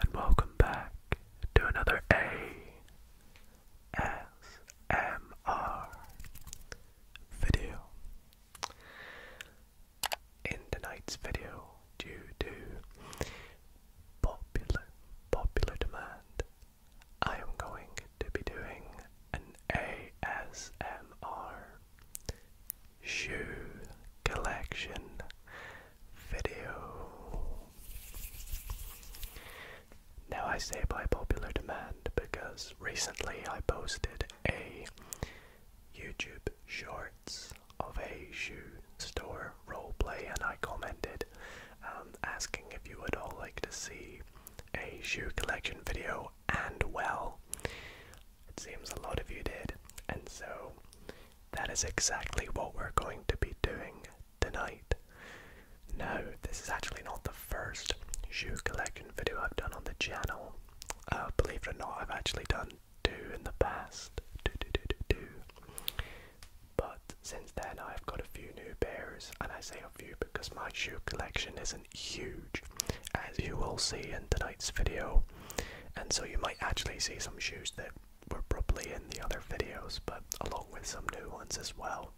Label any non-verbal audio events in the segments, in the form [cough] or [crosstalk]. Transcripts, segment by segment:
And welcome back to another ASMR video. In tonight's video, due to popular popular demand, I am going to be doing an ASMR shoe collection video. Now, I say by popular demand because recently I posted a YouTube Shorts of a shoe store roleplay and I commented um, asking if you would all like to see a shoe collection video and well it seems a lot of you did, and so that is exactly what we're going to be doing tonight. Now, this is actually not the first shoe collection video I've done on the channel. Uh, believe it or not, I've actually done two in the past. But since then, I've got a few new pairs, and I say a few because my shoe collection isn't huge. As you will see in tonight's video, and so you might actually see some shoes that were probably in the other videos, but along with some new ones as well.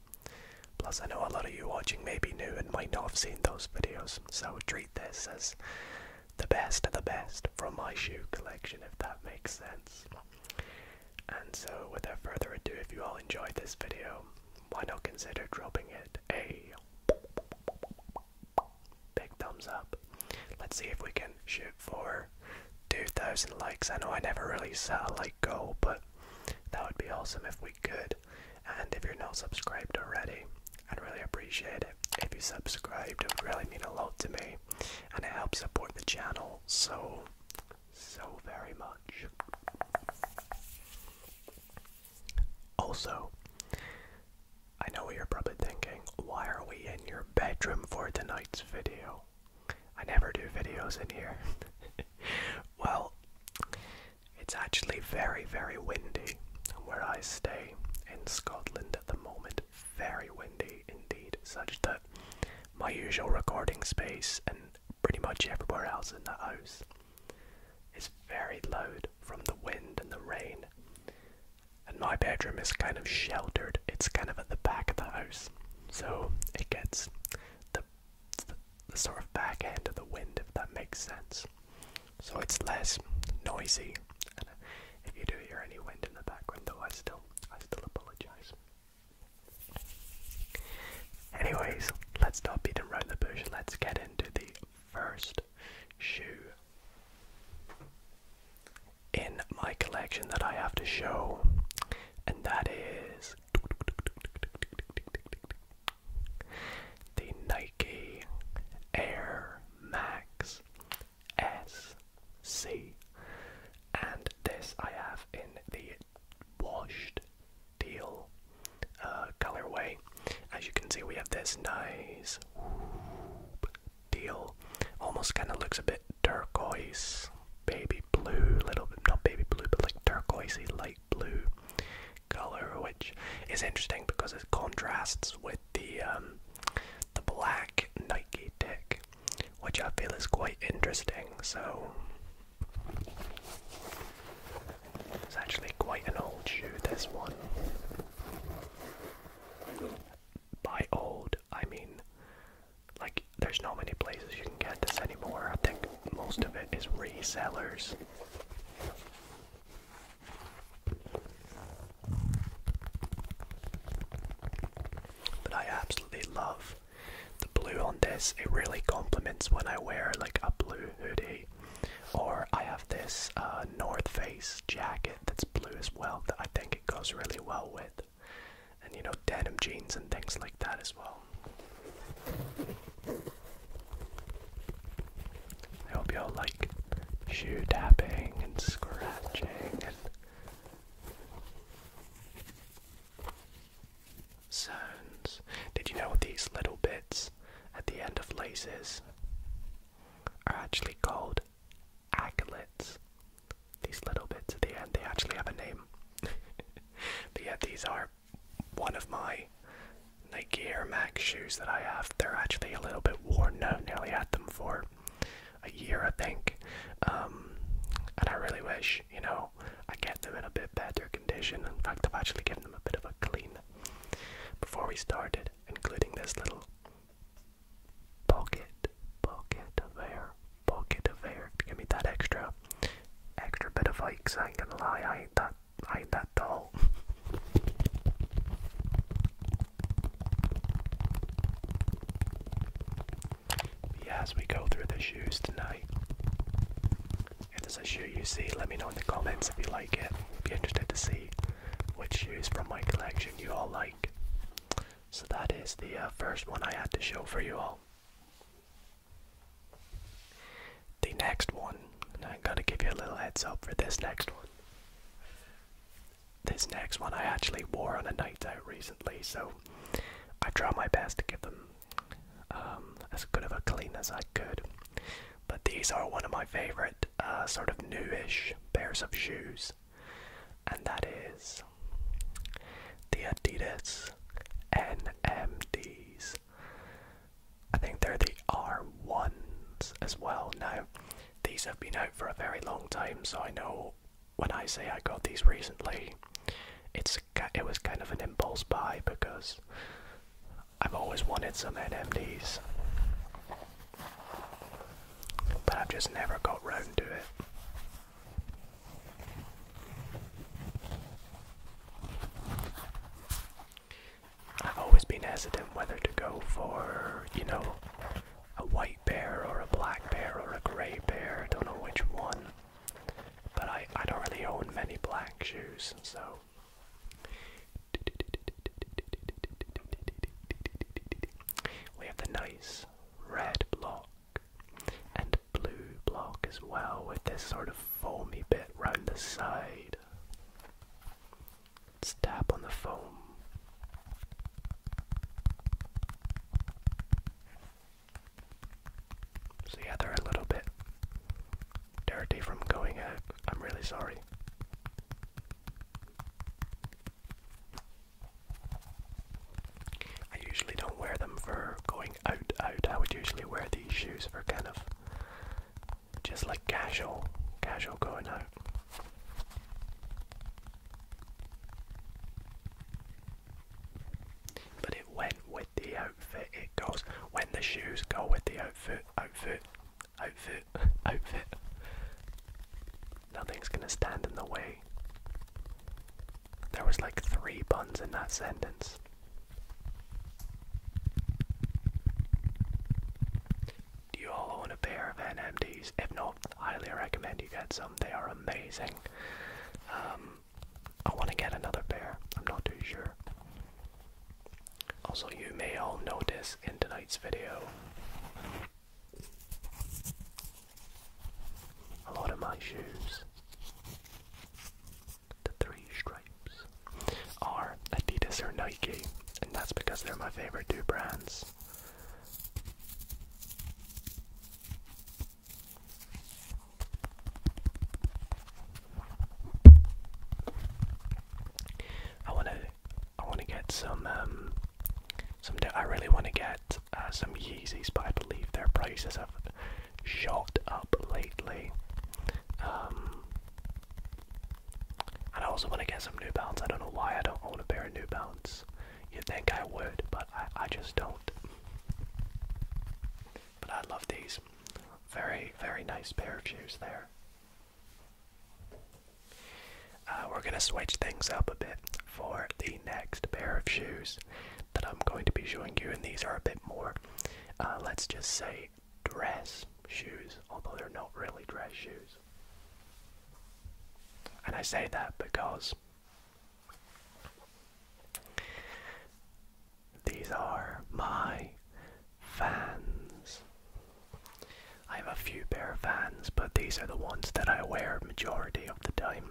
Plus, I know a lot of you watching may be new and might not have seen those videos, so treat this as the best of the best from my shoe collection, if that makes sense. And so, without further ado, if you all enjoyed this video, why not consider dropping it a Big thumbs up. Let's see if we can shoot for 2,000 likes. I know I never really set a like goal, but that would be awesome if we could. And if you're not subscribed already, I'd really appreciate it. If you subscribed, it would really mean a lot to me and it helps support the channel so, so very much. Also, I know what you're probably thinking. Why are we in your bedroom for tonight's video? I never do videos in here. [laughs] well, it's actually very, very windy where I stay in Scotland at the moment. Very windy indeed, such that my usual recording space and pretty much everywhere else in the house is very loud from the wind and the rain. And my bedroom is kind of sheltered. It's kind of at the back of the house. So it gets the, sort of back end of the wind, if that makes sense. So it's less noisy. And if you do hear any wind in the background, though, I still, I still apologize. Anyways, let's stop beating around the bush. Let's get into the first shoe in my collection that I have to show, and that is the Nike Air Max SC. And this I have in the washed teal uh, colorway. As you can see, we have this nice deal. Almost kind of looks a bit turquoise, baby blue, little bit, not baby blue, but like turquoisey light blue color, which is interesting because it contrasts with the um, the black Nike tick, which I feel is quite interesting. So it's actually quite an old shoe, this one by old, I mean, like, there's no many places you can get this anymore. I think most of it is resellers. But I absolutely love the blue on this. It really complements when I wear like a blue hoodie or I have have this uh, North Face jacket that's blue as well that I think it goes really well with. And you know, denim jeans and things like that as well. I hope y'all like shoe tapping and scratching and sounds. Did you know these little bits at the end of laces are actually called Aglets. These little bits at the end, they actually have a name. but [laughs] yeah, these are one of my Nike Air Max shoes that I have. They're actually a little bit worn now. Nearly had them for a year, I think. Um, and I really wish, you know, I get them in a bit better condition. In fact, I've actually given them a bit of a clean. Before we started including this little pocket, pocket of air, pocket of air give me that extra, extra bit of height. I ain't gonna lie, I ain't that, I ain't that tall. yeah, as we go through the shoes tonight, if there's a shoe you see, let me know in the comments if you like it. I'd be interested to see which shoes from my collection you all like. So that is the uh, first one I had to show for you all. The next one, I'm going to give you a little heads up for this next one. This next one I actually wore on a night out recently, so I try my best to give them um, as good of a clean as I could. But these are one of my favorite uh, sort of newish pairs of shoes, and that is the Adidas NMDs. I think they're the R1s as well. Now, these have been out for a very long time, so I know when I say I got these recently, it's it was kind of an impulse buy because I've always wanted some NMDs but I've just never got round to it. I've always been hesitant whether to go for, you know, a white bear or a black bear or a grey bear, I don't know which one. But I, I don't really own many black shoes, so we have the nice red block and blue block as well with this sort of foamy bit round the side. tap on the foam. So they're a little bit dirty from going out. I'm really sorry. I usually don't wear them for going out out. I would usually wear these shoes for kind of just like casual casual going out. But it went with the outfit. It goes when the shoes go with the outfit outfit outfit, [laughs] outfit. Nothing's gonna stand in the way. There was like three buns in that sentence. Do you all own a pair of NMDs? If not, highly recommend you get some. They are amazing. Um, I want to get another pair. I'm not too sure. Also, you may all notice in tonight's video a lot of my shoes, the three stripes, are Adidas or Nike, and that's because they're my favorite two brands. I want to I want to get some. Um, some. I really want to get uh, some Yeezys, but I believe their prices have shot up lately. Um, and I also want to get some New Balance. I don't know why I don't want a pair of New Balance. You'd think I would, but I just don't. But I love these. Very, very nice pair of shoes there. Uh, we're going to switch things up a bit for the next pair of shoes that I'm going to be showing you, and these are a bit more, uh, let's just say, dress shoes, although they're not really dress shoes. And I say that because these are my fans. I have a few pair of vans, but these are the ones that I wear majority of the time.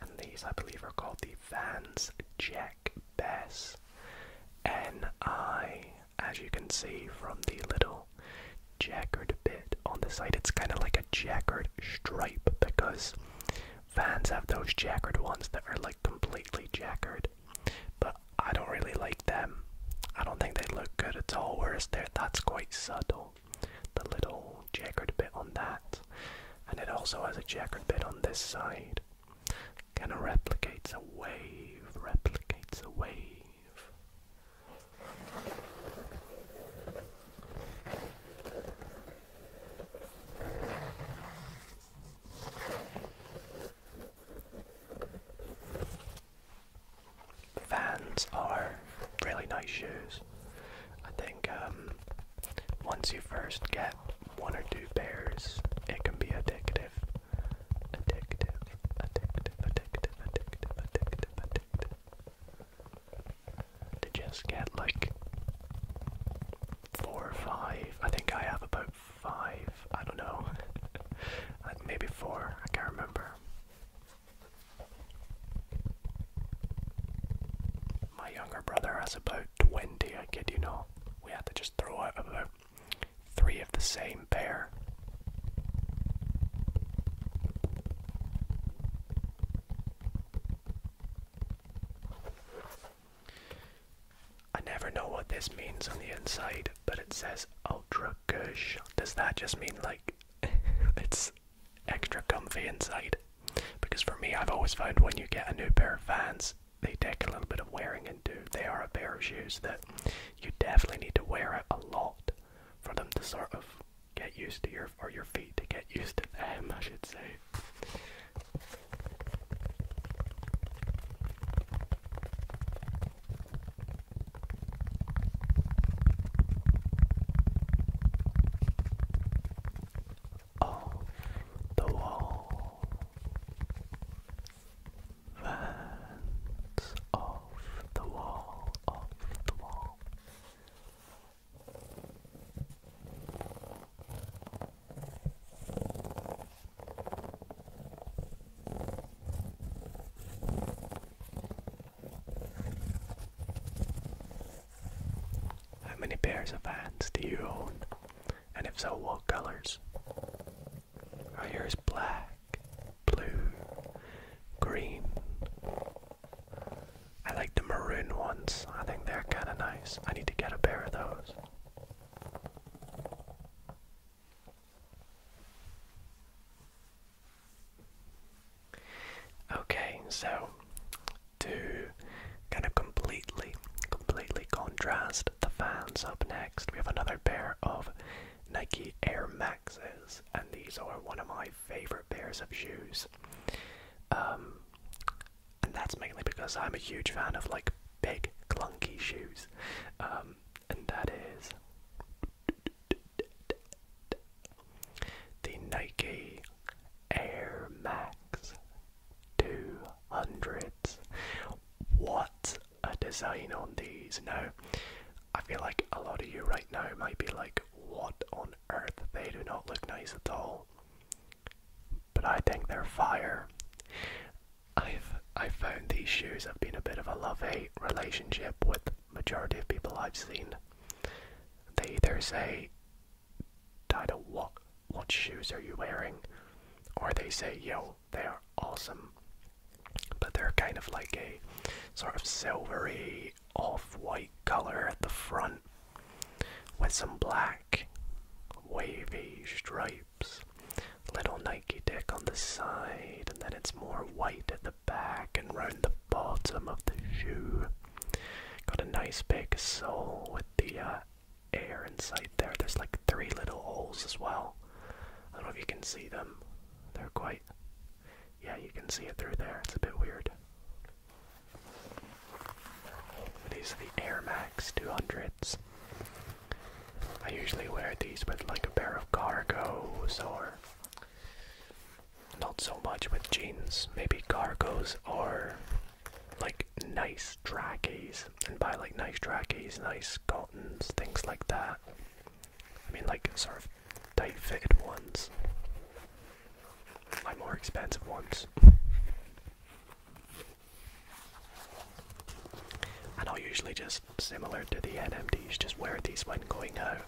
And these, I believe, are called the Vans Jack Bass. And I, as you can see from the little checkered bit on the side, it's kind of like a checkered stripe because Vans have those checkered ones that are like completely checkered. But I don't really like them. I don't think they look good at all, whereas that's quite subtle. The little checkered bit on that. And it also has a checkered bit on this side. Kind of replicates a wave, replicates a wave. Vans are really nice shoes. I think um, once you first get one or two pairs, it can be addictive. Addictive, addictive, addictive, addictive, addictive, addictive. To just get like four or five. I think I have about five. I don't know. [laughs] Maybe four. I can't remember. My younger brother has about 20, I kid you not. We had to just throw out about three of the same pair. I never know what this means on the inside, but it says Ultra Kush. Does that just mean like [laughs] it's extra comfy inside. Because for me, I've always found when you get a new pair of Vans, they take a little bit of wearing into. They are a pair of shoes that you definitely need to wear it a lot for them to sort of get used to your or your feet to get used to them, I should say. Off the wall Vans off the wall, off the wall how many pairs of hands do you own? And if so, what colors? Are yours black, blue, green? I like the maroon ones. I think they're kind of nice. I need to get a pair of those. Okay, so to kind of completely, completely contrast the fans up next, we have another pair of Nike Air Maxes, and these are one of my favorite pairs of shoes. Um, and that's mainly because I'm a huge fan of like big, clunky shoes. Um, and that is the Nike Air Max 200s. What a design on these! Now, I feel like a lot of you right now might be like, what on earth? They do not look nice at all. But I think they're fire. I've I found these shoes have been a bit of a love hate relationship with majority of people I've seen, they either say, Dino, what, what shoes are you wearing? Or they say, yo, they are awesome. But they're kind of like a sort of silvery, off white color at the front with some black, wavy stripes. Little Nike dick on the side, and then it's more white at the back and round the bottom of the shoe. Got a nice big sole with the uh, air inside there. There's like three little holes as well. I don't know if you can see them. They're quite. Yeah, you can see it through there. It's a bit weird. These are the Air Max 200s. I usually wear these with like a pair of cargos or not so much with jeans, maybe cargos or like nice trackies. And buy like nice trackies, nice cottons, things like that. I mean, like sort of tight fitted ones. My more expensive ones. And i usually just similar to the NMDs, just wear these ones going out.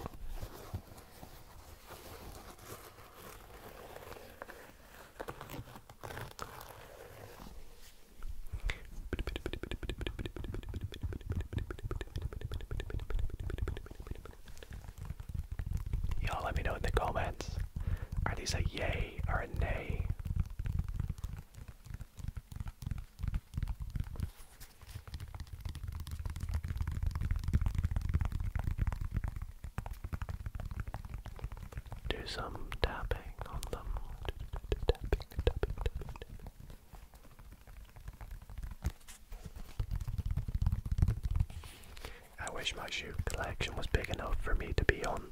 Y'all let me know in the comments. Are these a yay or a nay? Do some tapping on them. I wish my shoe collection was big enough for me to be on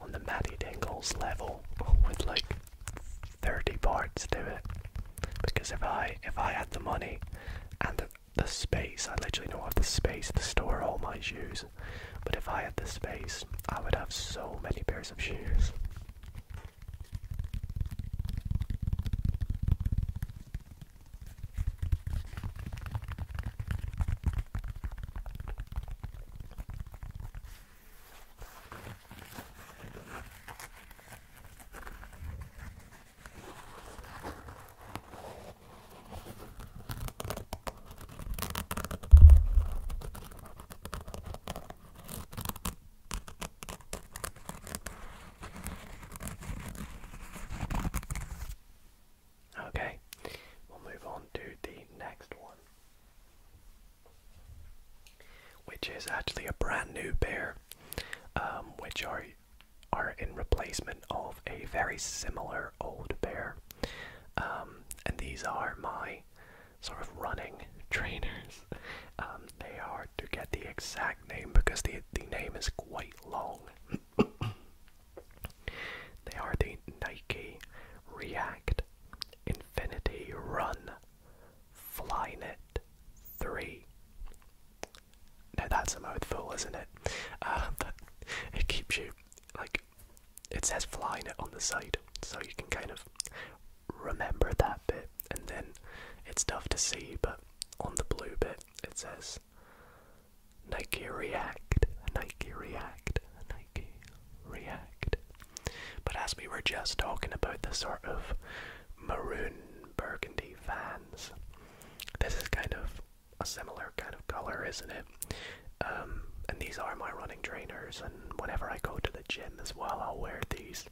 on the Matty Dingles level with like 30 pairs, to it because if i if i had the money and the space i literally don't have the space to store all my shoes but if i had the space i would have so many pairs of shoes Okay, we'll move on to the next one which is actually a brand new pair, um, which are are in replacement of a very similar old pair. Um, and these are my sort of running [laughs] trainers. Um, they are to get the exact name because the the name is quite long. [coughs] they are the Nike React Infinity Run Flynet 3. Now that's a mouthful, isn't it? Uh, but it keeps you, like, it says Flynet on the side, so you can kind of remember that bit, and then it's tough to see, but on the blue bit it says Nike React, Nike React, Nike React. But as we were just talking about the sort of maroon burgundy Vans. This is kind of a similar kind of color, isn't it? Um, and these are my running trainers, and whenever I go to the gym as well, I'll wear these.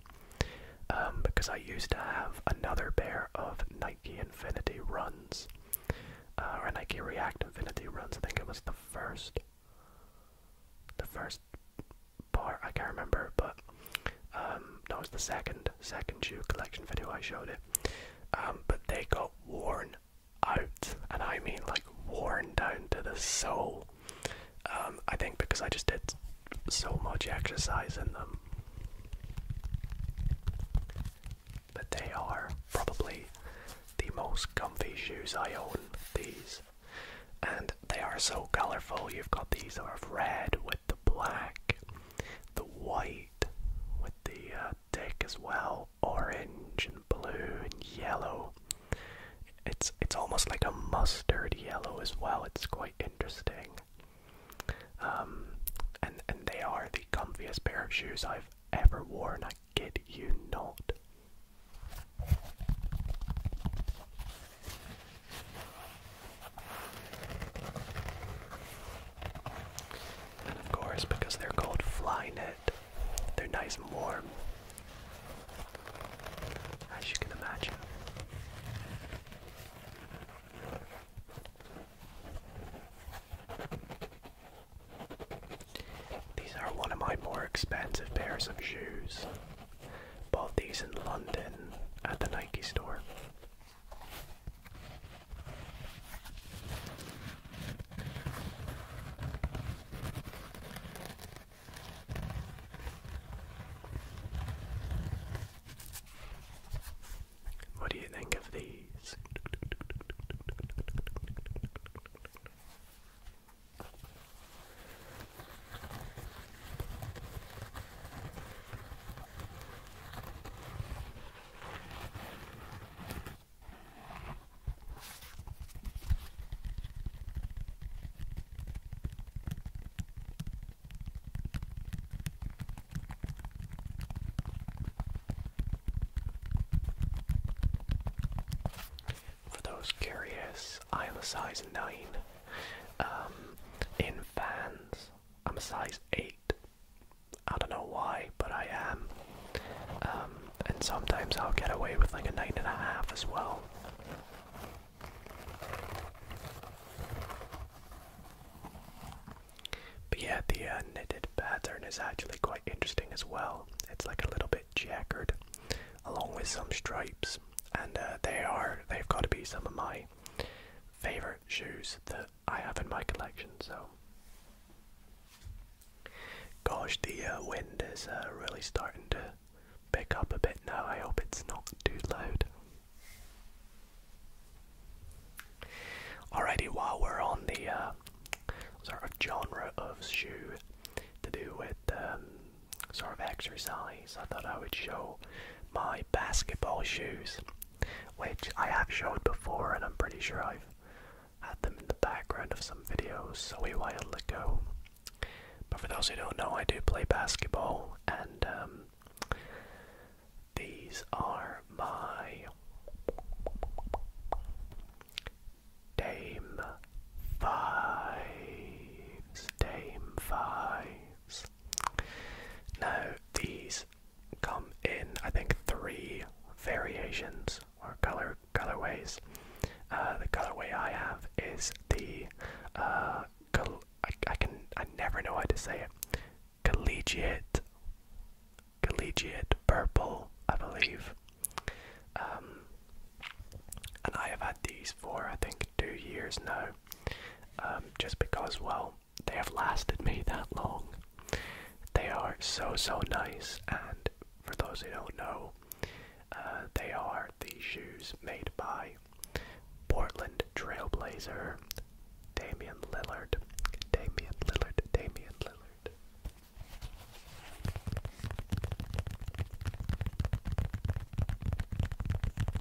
Um, because I used to have another pair of Nike Infinity runs, uh, or Nike React Infinity runs. I think it was the first, the first part, I can't remember, but um, that was the second second shoe collection video I showed it. Um, but they got worn out, and I mean like worn down to the soul. Um, I think because I just did so much exercise in them. But they are probably the most comfy shoes I own, these. And they are so colourful. You've got these that are red with the black, the white with the uh, deck as well, orange and blue and yellow. It's it's almost like a mustard yellow as well. It's quite interesting. Um, and and they are the comfiest pair of shoes I've ever worn. I kid you not. And of course, because they're called fly net, they're nice and warm, as you can imagine. These are one of my more expensive pairs of shoes. Bought these in London at the Nike store. What do you think of these? For those curious, I am a size 9 um, in Vans, I'm a size 8. I don't know why, but I am. Um, and sometimes I'll get away with like a nine and a half as well. But yeah, the uh, knitted pattern is actually quite interesting as well. It's like a little bit checkered, along with some stripes, and uh, they are—they've got to be some of my favorite shoes that I have in my collection. So, gosh, the uh, wind is uh, really starting to pick up a bit now. I hope it's not too loud. Alrighty, while we're on the uh, sort of genre of shoe to do with um, sort of exercise I thought I would show my basketball shoes, which I have showed before, and I'm pretty sure I've had them in the background of some videos so a while ago. But for those who don't know, I do play basketball, and um, these are my Dame Fives. Dame Fives. Now, these come in, I think, three variations or color colorways. Uh, the colorway I have is the uh, I, can I never know how to say it. Collegiate, collegiate purple, I believe. Um, and I have had these for I think two years now. Um, just because, well, they have lasted me that long. They are so, so nice, and for those who don't know, uh, they are the shoes made by Portland Trailblazer Damian Lillard. Damian Lillard, Damian Lillard.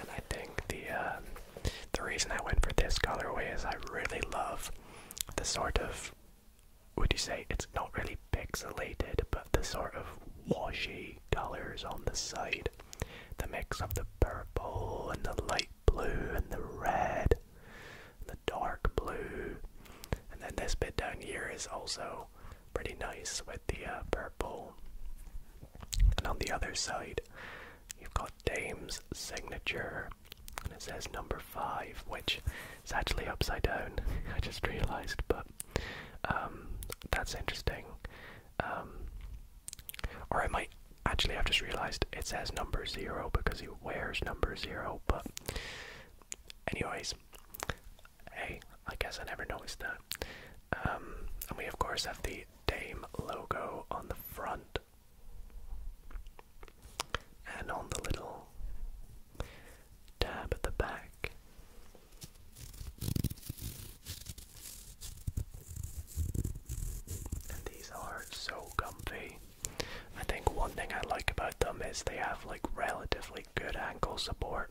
And I think the uh, the reason I went for this colorway is I really love the sort of would you say it's not really pixelated, but the sort of washy colors on the side, the mix of the purple and the light blue and the red, the dark blue, and then this bit down here is also pretty nice with the uh, purple and on the other side, you've got Dame's signature, and it says number five, which is actually upside down. [laughs] I just realised, but um, that's interesting. Um, or I might actually I've just realised it says number zero because he wears number zero. But anyways, hey, I guess I never noticed that. Um, and we of course have the Dame logo on the front. And on the little tab at the back, and these are so comfy. I think one thing I like about them is they have like relatively good ankle support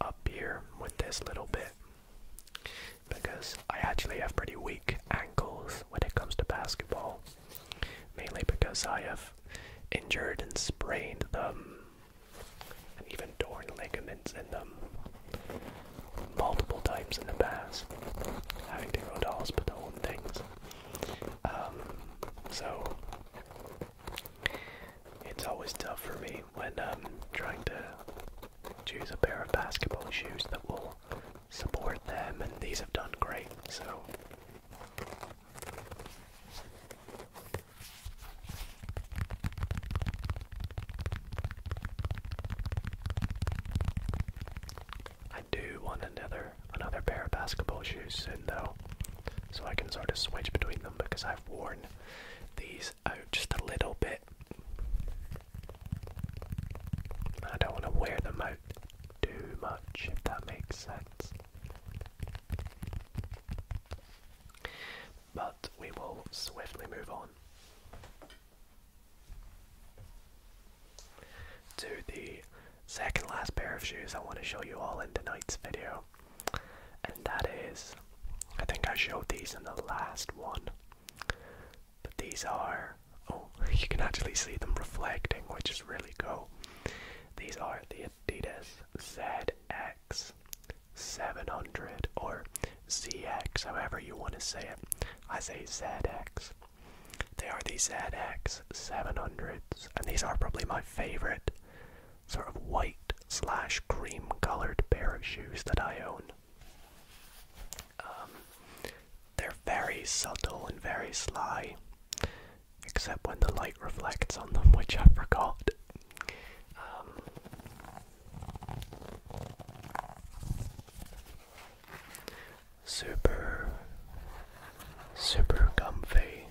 up here with this little bit because I actually have pretty weak ankles when it comes to basketball, mainly because I have injured and sprained them, and even torn ligaments in them multiple times in the past, having to go to hospital and things. Um, so it's always tough for me when um, trying to choose a pair of basketball shoes that will support them, and these have done great, so. I do want another another pair of basketball shoes soon though, so I can sort of switch between them because I've worn these out just a little bit. I don't want to wear them out too much, if that makes sense. But we will swiftly move on to the second last pair of shoes I want to show you all in tonight's video. And that is, I think I showed these in the last one. But these are, oh, [laughs] you can actually see them reflecting, which is really cool. These are the Adidas ZX 700 or ZX, however you want to say it. I say ZX. They are the ZX 700s, and these are probably my favorite sort of white slash cream colored pair of shoes that I own. Um, they're very subtle and very sly, except when the light reflects on them, which I forgot. Um, super, super comfy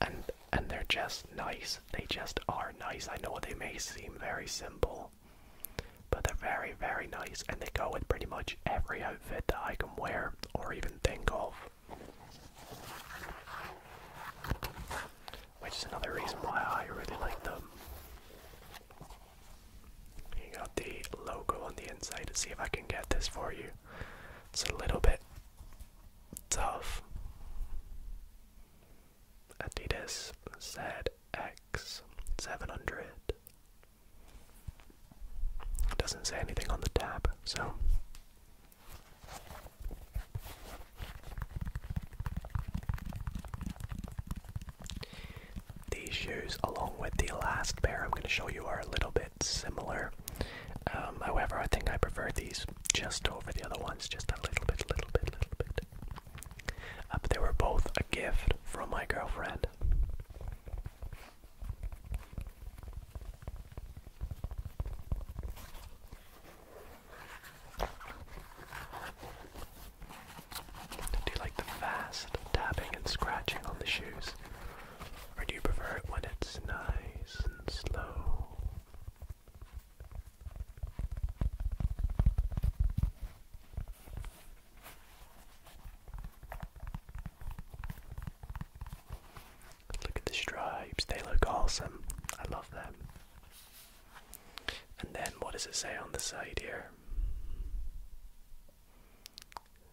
and and they're just nice. They just are nice. I know they may seem very simple, but they're very very nice, and they go with pretty much every outfit that I can wear or even think of. Which is another reason why I really like them. You got the logo on the inside to see if I can get this for you. It's a little bit tough. Adidas ZX 700. doesn't say anything on the tab, so. These shoes, along with the last pair I'm going to show you, are a little bit similar. Um, however, I think I prefer these just over the other ones, just a little bit, little bit, little bit. Uh, but they were both a gift from my girlfriend. Do you like the fast tapping and scratching on the shoes? Or do you prefer it when it's nice and slow? Look at the stripes, they look awesome. I love them. And then what does it say on the side here?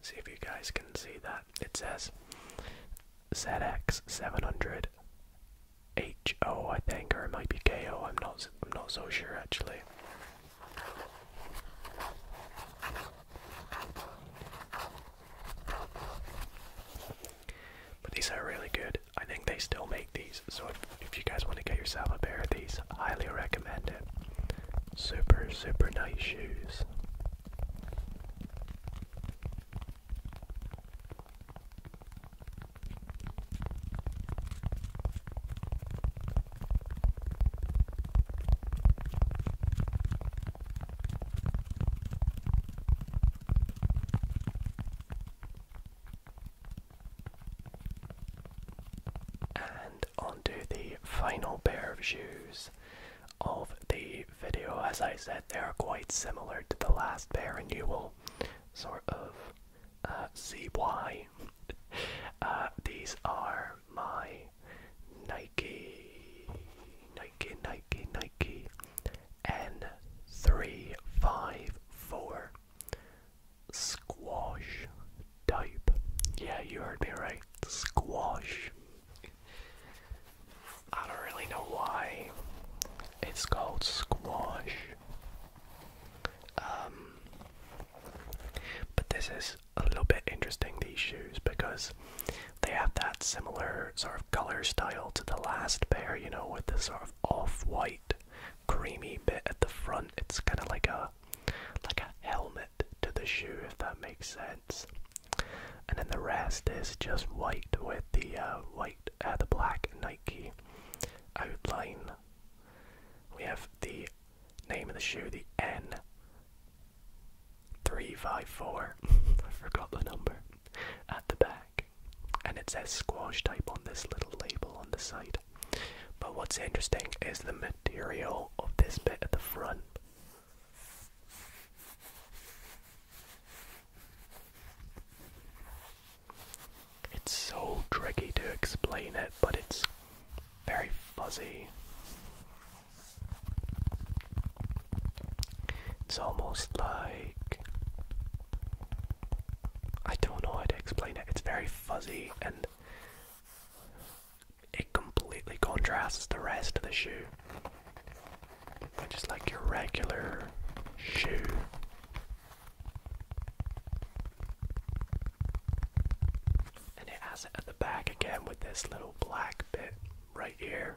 See if you guys can see that. It says ZX700 H-O, I think, or it might be K-O. I'm not, I'm not so sure, actually. But these are really good. I think they still make these, so if, if you guys want to get yourself a pair of these, highly recommend it. Super, super nice shoes. And onto the final pair of shoes of the video. As I said, they are quite similar to the last pair, and you will sort of uh, see [laughs] uh, these are my Nike, Nike, Nike, Nike N354 squash type. Yeah, you heard me right. Squash. I don't really know why it's called squash. Um, but this is a little bit interesting, these shoes, because they have that similar sort of color style to the last pair, you know, with the sort of off white, creamy bit at the front. It's kind of like a like a helmet to the shoe, if that makes sense. And then the rest is just white with the uh, white uh, the black Nike outline. We have the name of the shoe, the N. 354, [laughs] I forgot the number, at the back. And it says squash type on this little label on the side. But what's interesting is the material of this bit at the front. It's so tricky to explain it, but it's very fuzzy. It's almost like. I don't know how to explain it. It's very fuzzy and it completely contrasts the rest of the shoe. Just like your regular shoe, and it has it at the back again with this little black bit right here.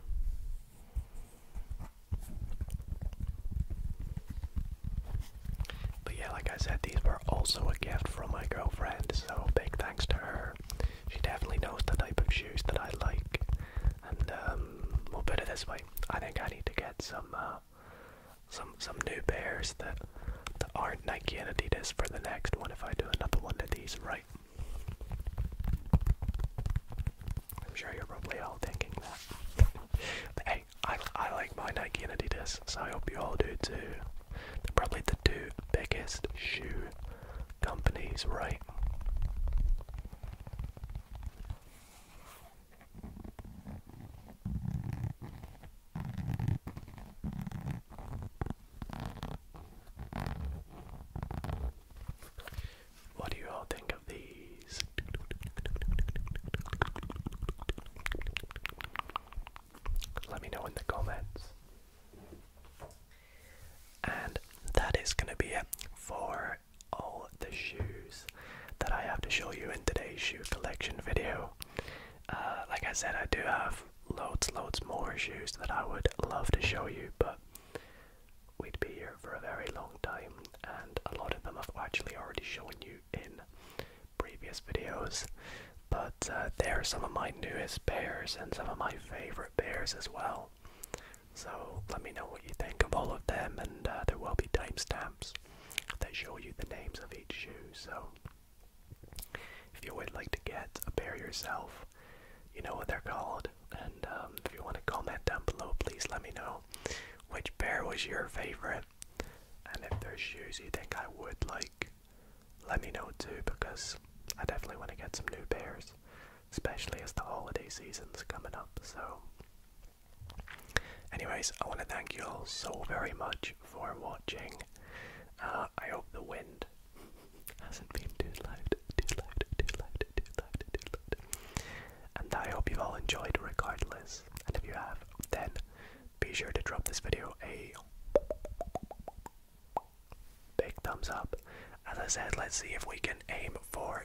But yeah, like I said, these were also a gift from my girlfriend, so big thanks to her. She definitely knows the type of shoes that I like. And um, we'll put it this way I think I need to get some uh, some some new pairs that that aren't Nike and Adidas for the next one if I do another one of these right. I'm sure you're probably all thinking that. [laughs] hey, I I like my Nike and Adidas, so I hope you all do too. They're probably the two biggest shoe companies, right? What do you all think of these? Let me know in the comments. And that is going to be it for all the shoes that I have to show you in today's shoe collection video. Uh, like I said, I do have loads, loads more shoes that I would love to show you, but we'd be here for a very long time, and a lot of them I've actually already shown you in previous videos. But uh, they are some of my newest pairs and some of my favorite pairs as well. So let me know what you think of all of them, and uh, there will be timestamps maps that show you the names of each shoe. So if you would like to get a pair yourself, you know what they're called. And um, if you want to comment down below, please let me know which pair was your favorite. And if there's shoes you think I would like, let me know too because I definitely want to get some new pairs, especially as the holiday season's coming up. So Anyways, I want to thank you all so very much for watching. Uh, I hope the wind [laughs] hasn't been too loud, too loud, too loud, too loud, too loud. And I hope you've all enjoyed regardless. And if you have, then be sure to drop this video a big thumbs up. As I said, let's see if we can aim for